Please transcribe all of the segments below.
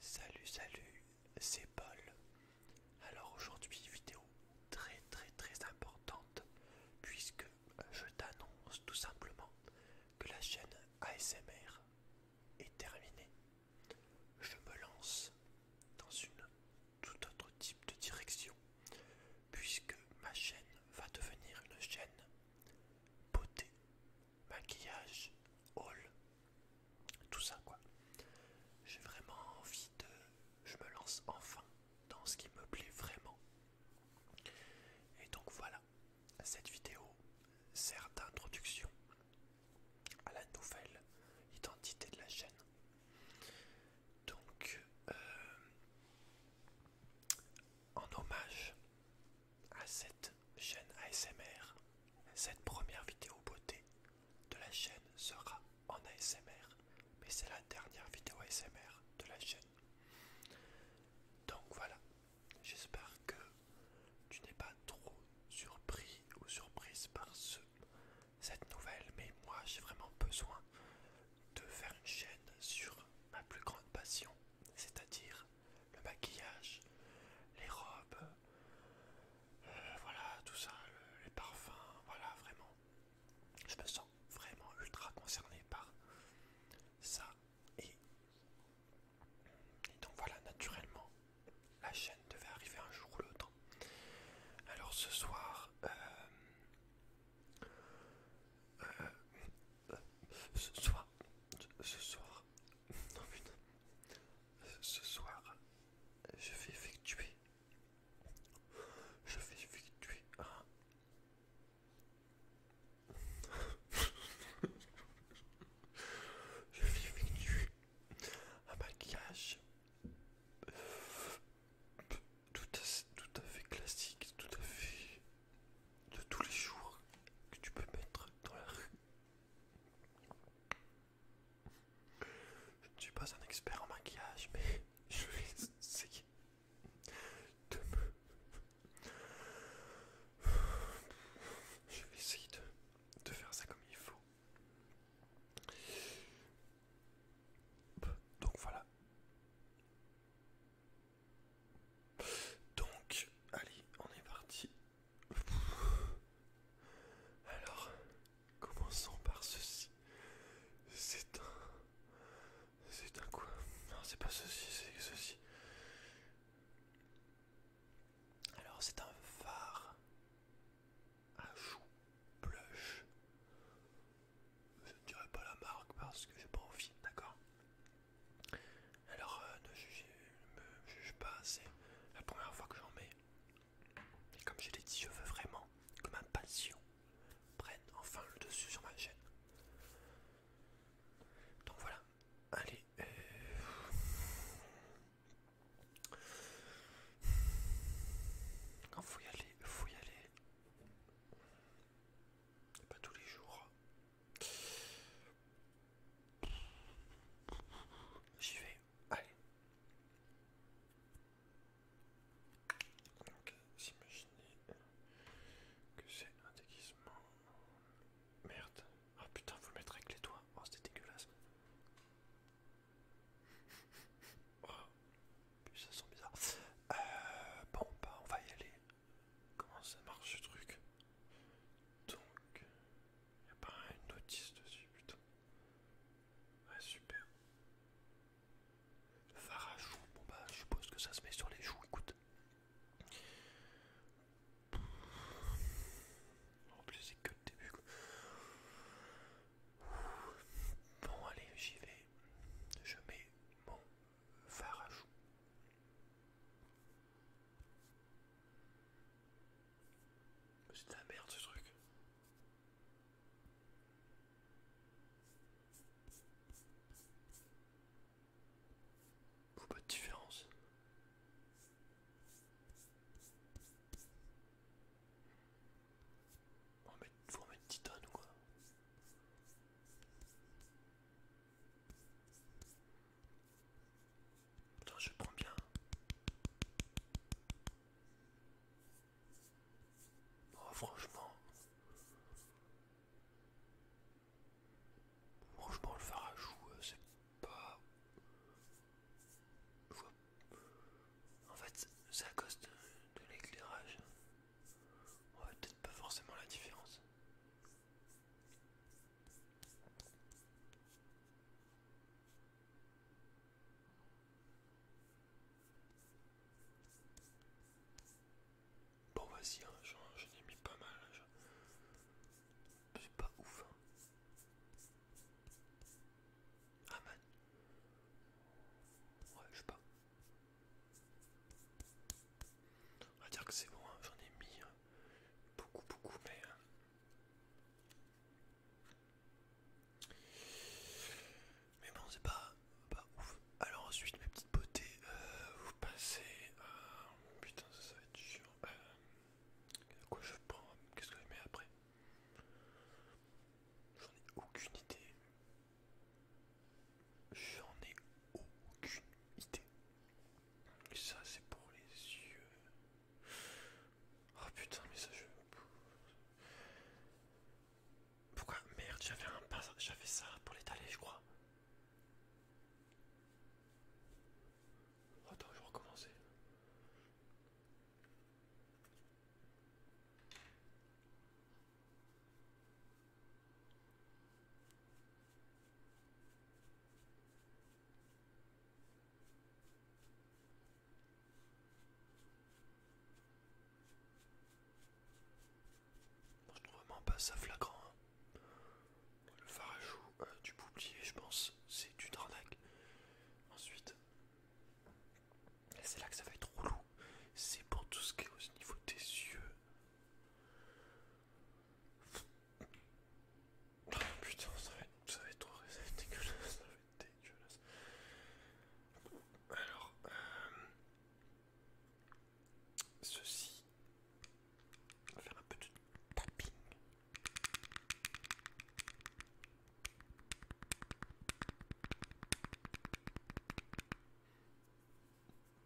Salut salut, c'est Paul. Alors aujourd'hui vidéo très très très importante puisque je t'annonce tout simplement que la chaîne ASMR est terminée. Je me lance dans une tout autre type de direction puisque ma chaîne va devenir une chaîne beauté maquillage, haul, tout ça quoi. J'ai vraiment envie de... Je me lance enfin dans ce qui me plaît vraiment. Et donc voilà, cette vidéo sert d'introduction à la nouvelle identité de la chaîne. Donc, euh, en hommage à cette chaîne ASMR. Cette première vidéo beauté de la chaîne sera en ASMR, mais c'est la dernière vidéo ASMR de la chaîne. Donc voilà, j'espère que tu n'es pas trop surpris ou surprise par ce, cette nouvelle, mais moi j'ai vraiment besoin de faire une chaîne sur ma plus grande passion, c'est-à-dire le maquillage, les robes, euh, voilà, tout ça, les parfums, voilà, vraiment. Je me sens vraiment ultra concerné par ça. Et, donc voilà, naturellement, la chaîne devait arriver un jour ou l'autre. Alors ce soir... Euh, euh, ce soir, ce soir, non putain. Ce soir, je vais effectuer. Je vais effectuer un. je vais effectuer un maquillage tout à, tout à fait classique, tout à fait de tous les jours que tu peux mettre dans la rue. Je ne suis pas un expert en maquillage, mais je vais essayer de Je vais essayer de, faire ça comme il faut. Donc voilà. Donc, allez, on est parti alors, commençons par ceci. C'est un. C'est un quoi Non, c'est pas ceci, c'est ceci. Alors, c'est un phare à chou blush. Je ne dirai pas la marque parce que j'ai pas envie, d'accord alors euh, ne jugez, me juge pas, c'est la première fois que j'en mets. Et comme je l'ai dit, je veux vraiment que ma passion prenne enfin le dessus sur ma chaîne. Donc voilà, allez. il euh, faut y aller, faut y aller. Pas tous les jours, J'y vais. Allez. Donc, s'imaginer que c'est un déguisement. Merde. ah putain, vous le mettre avec les doigts. Oh, c'était dégueulasse. oh, ça sent bizarre. Euh, bon, bah, on va y aller. Comment ça marche ce truc Donc, Y'a pas une notice dessus, putain. Ouais, super. Phare à bon bah je suppose que ça se met sur les joues, écoute. En plus c'est que le début quoi. Bon allez j'y vais. Je mets mon phare à Oh, c'est de la merde ce truc. Faut pas de différence. On va mettre, faut remettre titane ou quoi je prends bien. Oh, franchement. Franchement, le joue, euh, c'est pas. En fait, c'est à cause de, l'éclairage. On ouais, peut-être pas forcément la différence. Bon vas-y, hein, j'en ai mis pas mal. C'est pas ouf. Hein. Ah man. Ouais, je sais pas. On va dire que c'est bon, hein, j'en ai mis. Hein beaucoup, beaucoup, mais. Euh. Mais bon, c'est pas, pas ouf. Alors, ensuite, mes petites beautés, euh, vous passez. à, putain, ça, va être chiant. Euh, quoi je prends Qu'est-ce que je mets après J'en ai aucune idée. J'en ai aucune idée. Ça c'est pour les yeux. Oh putain mais ça je... Pourquoi Merde j'avais un pas... J'avais ça pour l'étaler je crois. Attends je vais recommencer je trouve vraiment pas ça flagrant. Hein. Le farajou euh, du boublier, je pense, c'est du arnaque. Ensuite, c'est là que ça va être relou. C'est pour tout ce qui est au niveau des yeux. Oh, putain, ça va être, ça va trop ça va être dégueulasse, ça va être dégueulasse. Alors, euh, ceci, on va faire un petit tapping.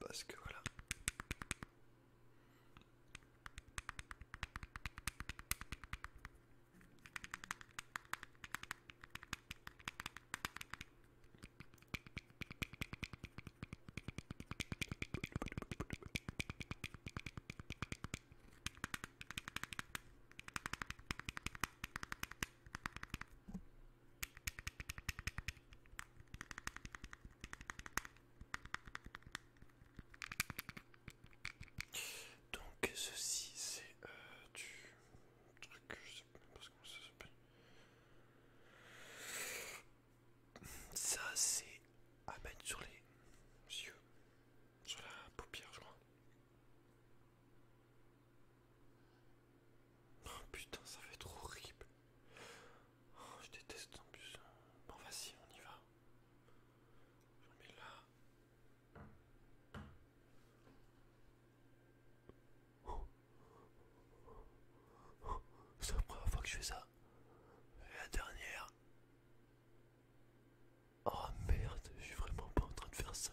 Parce que voilà. Donc ceci c'est euh, du truc, je sais même pas comment ça s'appelle. Ça c'est à mettre sur les yeux, sur la paupière je crois. Oh putain ça va être horrible. Oh, je déteste en plus. Bon, vas-y, on y va. Je mets là. Oh. C'est la première fois que je fais ça. Et la dernière. Oh merde, je suis vraiment pas en train de faire ça.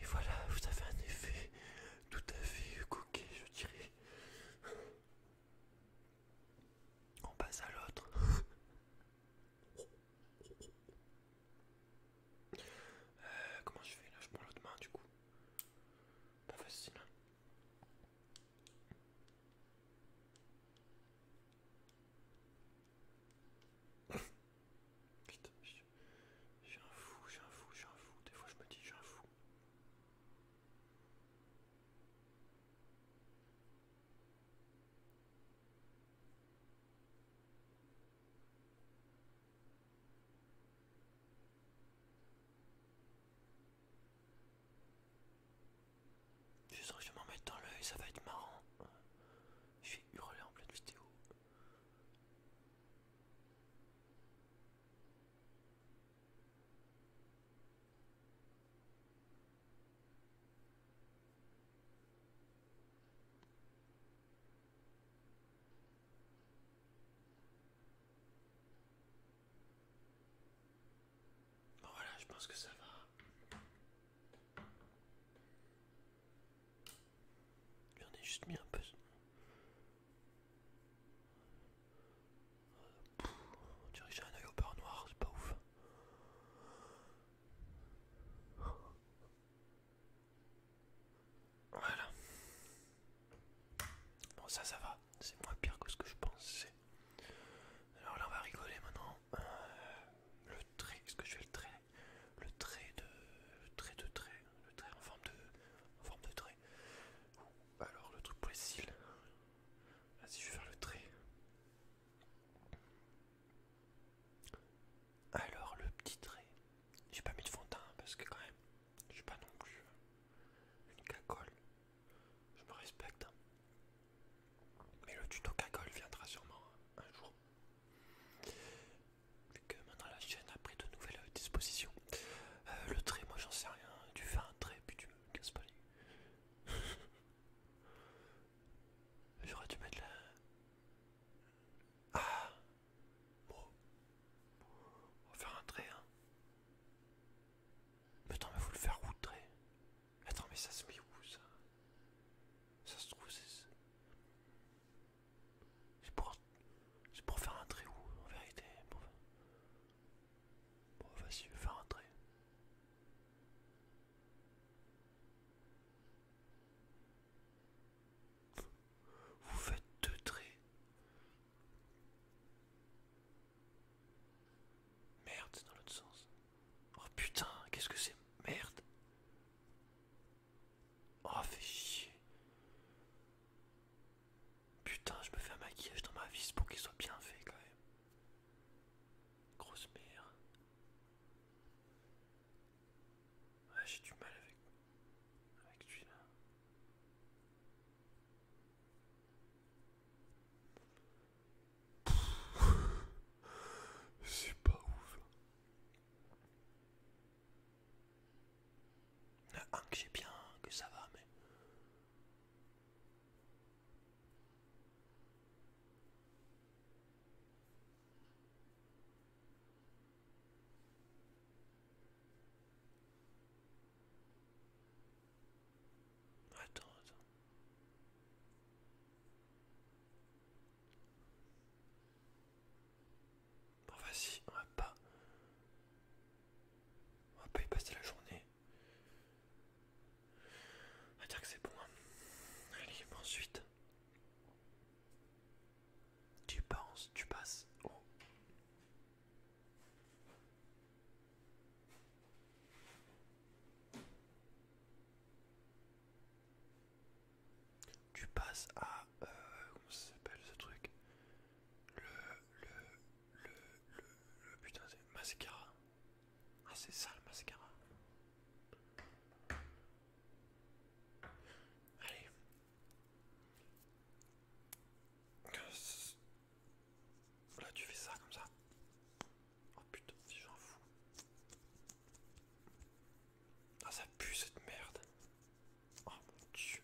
Et voilà, vous avez un effet tout à fait coquet, je dirais. On passe à l'autre. Euh, comment je fais là Je prends l'autre main du coup. Pas facile. Hein. Putain, je suis un fou, j'ai un fou, j'ai un fou. Des fois je me dis, je un fou. Je sens que je m'en mettre dans l'œil, ça va être marrant. Je vais hurler en pleine vidéo voilà, je pense que ça va. J'en ai juste mis un peu on dirait que j'ai un œil au beurre noir, c'est pas ouf. Voilà. Bon ça ça va, c'est moins pire que ce que je pensais. Alors là on va rigoler maintenant. Euh, le trait, est-ce que je fais le trait Le trait de... Le trait de trait. Le trait en forme de... En forme de trait. Alors le truc pour les Vas-y, je vais faire le trait. Alors, le petit trait. J'ai pas mis de fond parce que, quand même, je suis pas non plus une cagole. Je me respecte. Hein. Mais le tuto cagole viendra sûrement hein, un jour. que maintenant la chaîne a pris de nouvelles dispositions. Euh, le trait, moi j'en sais rien. Tu fais un trait, puis tu me casses pas les. J'aurais dû mettre la... Ah Bon. On va faire un trait, hein. Mais attends, mais faut le faire où, le trait Attends, mais ça se met où, ça Ça se trouve, c'est... C'est pour... C'est pour faire un trait où, en vérité Bon, vas-y, un trait. Vous faites deux traits. Merde, c'est dans l'autre sens. Oh putain, qu'est-ce que c'est Merde. Oh, fait chier. Putain, je me fais un maquillage dans ma vis pour qu'il soit bien fait quand même. Grosse merde. Ouais, j'ai du mal avec, avec lui là. C'est pas ouf. Il y que j'ai bien, que ça va, mais. Attends, attends. vas-y, on va pas... On va pas y passer la journée. On dire que c'est bon. Hein. Allez, ensuite. Tu penses, tu passes. Tu passes à... Euh, comment ça s'appelle ce truc le, le, le, le, le putain mascara. Ah c'est ça le mascara. Allez. Là tu fais ça comme ça. Oh putain, Ah ça pue cette merde. Oh mon dieu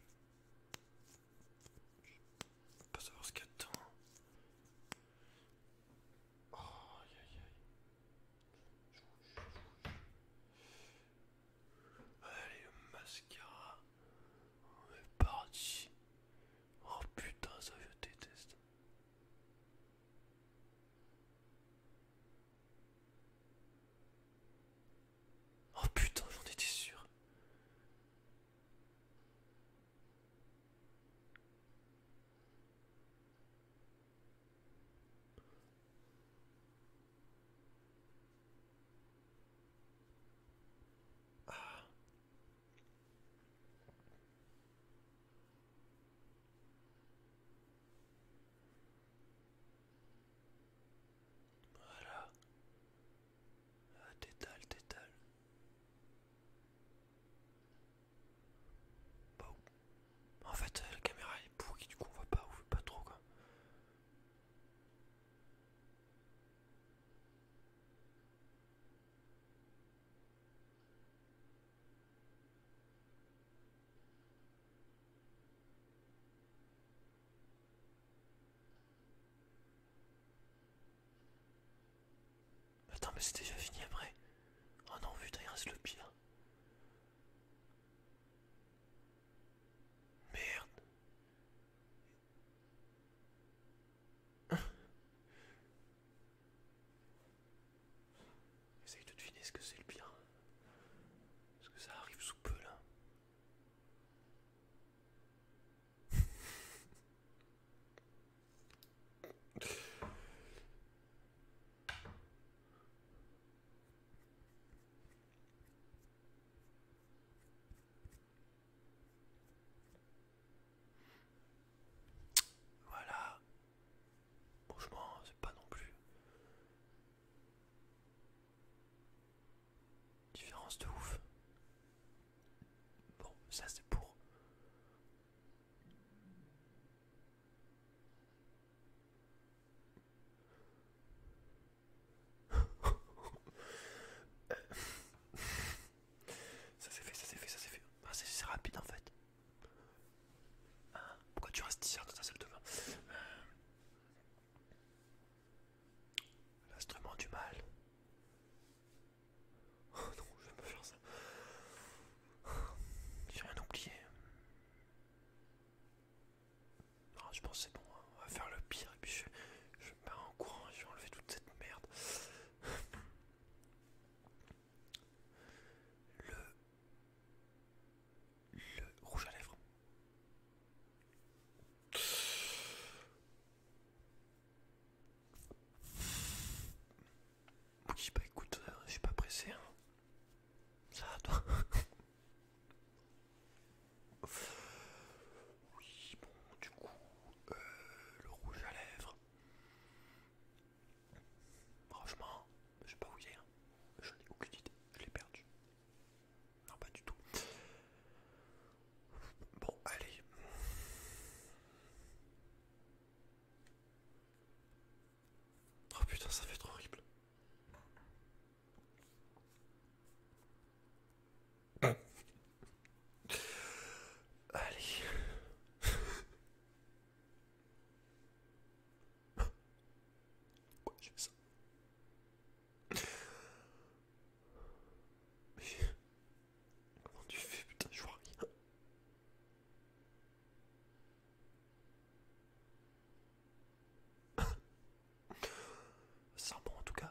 pas savoir ce qu'il y a Oh, Allez, le mascara. On est parti. Oh putain, ça je déteste. Oh putain, j'en étais sûr. Ah. Voilà. Ah, t'étale. t'étales. bon bah, en fait, la caméra est pourrie, du coup, on voit pas, on voit pas trop quoi. Attends, mais c'est déjà fini après. Oh non, putain, rien, reste le pire. Merde. Essaye de deviner ce que c'est le pire. Parce que ça arrive sous peu là. Voilà. Franchement, c'est pas non plus Différence de ouf. Bon, ça c'est pour. ça c'est fait, ça c'est fait, ça c'est fait. Ah, c'est rapide en fait. Hein Pourquoi tu restes ici dans ta salle de bain euh, L'instrument du mal. Oh non, je vais me faire ça. J'ai rien oublié. Ah, je pense c'est bon, hein. on va faire le pire et puis je, me pars en courant je vais enlever toute cette merde. Le. Le rouge à lèvres. Oui, bah écoute, euh, je suis pas pressé. Hein. Ça va, toi Oui, bon, du coup, euh, le rouge à lèvres. Franchement, je sais pas où il est. Hein. Je n'ai aucune idée. Je l'ai perdu. Non, pas du tout. Bon, allez. Oh putain, ça fait trop horrible. Allez. Pourquoi je fais ça. Mais... Comment tu fais putain, je vois rien. Ça bon en tout cas.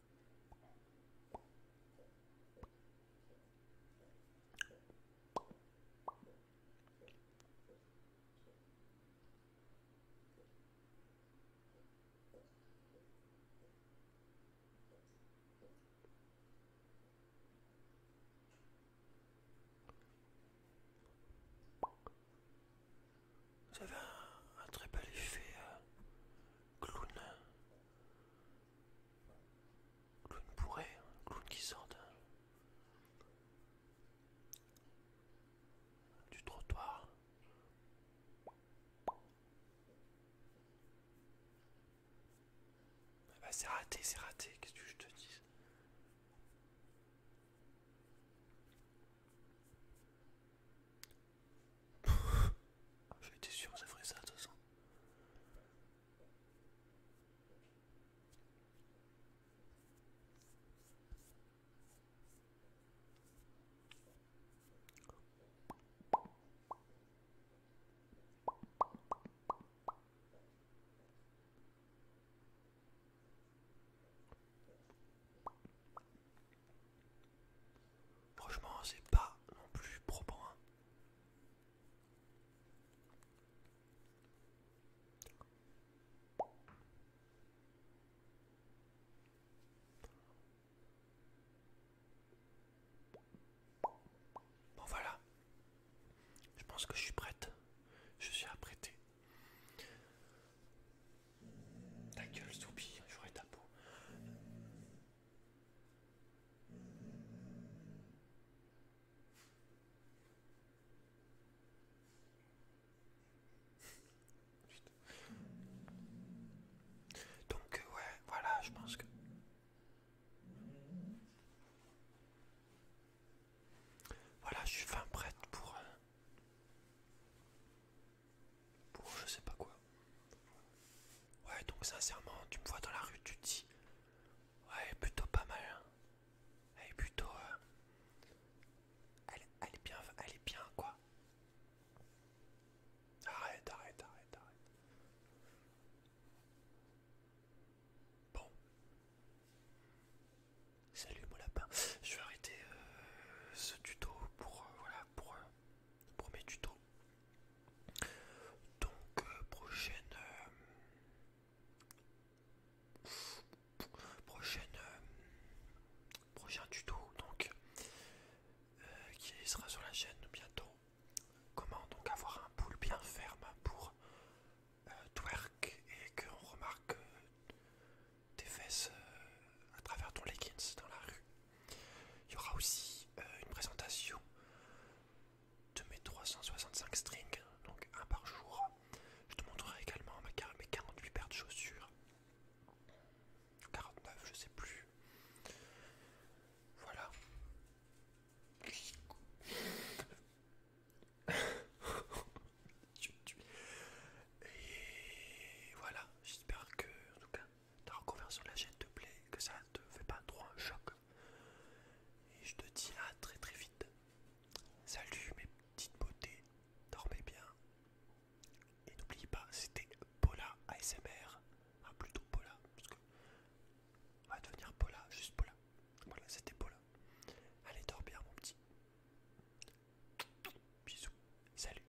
Vous un, très bel effet euh, clown. Clown bourré, clown qui sort du trottoir. Ah bah, c'est raté, c'est raté, qu'est-ce que je te dis J'étais sûr que ça ferait ça de toute façon. Franchement, c'est pas non plus propre hein. Bon voilà, je pense que je suis prête, je suis apprêtée. Ta gueule, Soupy, j'aurai ta peau. Donc euh, ouais, voilà, je pense que... Voilà, je suis fin prête pour... Euh, pour je sais pas quoi. Ouais, donc sincèrement, tu me vois dans la rue, tu te dis, ouais, plutôt pas mal. Hein. Elle est plutôt, pas euh, elle, elle est bien, elle est bien quoi. Arrête, arrête, arrête, arrête. Bon. Salut mon lapin. Je vais arrêter euh, ce tuto pour euh, voilà pour premier tuto. Donc euh, prochaine euh, prochaine euh, prochain tuto donc qui sera sur la chaîne bientôt. Comment donc avoir un poule bien ferme pour twerk et qu'on remarque tes fesses à travers ton leggings dans la rue. Il y aura aussi euh, une présentation de mes 365 strings, donc un par jour. Je te montrerai également mes 48 paires de chaussures. 49, je sais plus. Voilà. Et voilà, j'espère que en tout cas T'as reconversion sur la chaîne te plaît, que ça ne te fait pas trop un choc. Et je te dis à très très vite. Salut mes petites beautés, dormez bien. Et n'oublie pas, c'était Paula ASMR. Ah plutôt Paula, parce que on va devenir Paula, juste Paula. Voilà, c'était Paula. Allez, dors bien mon petit. Bisous. Salut.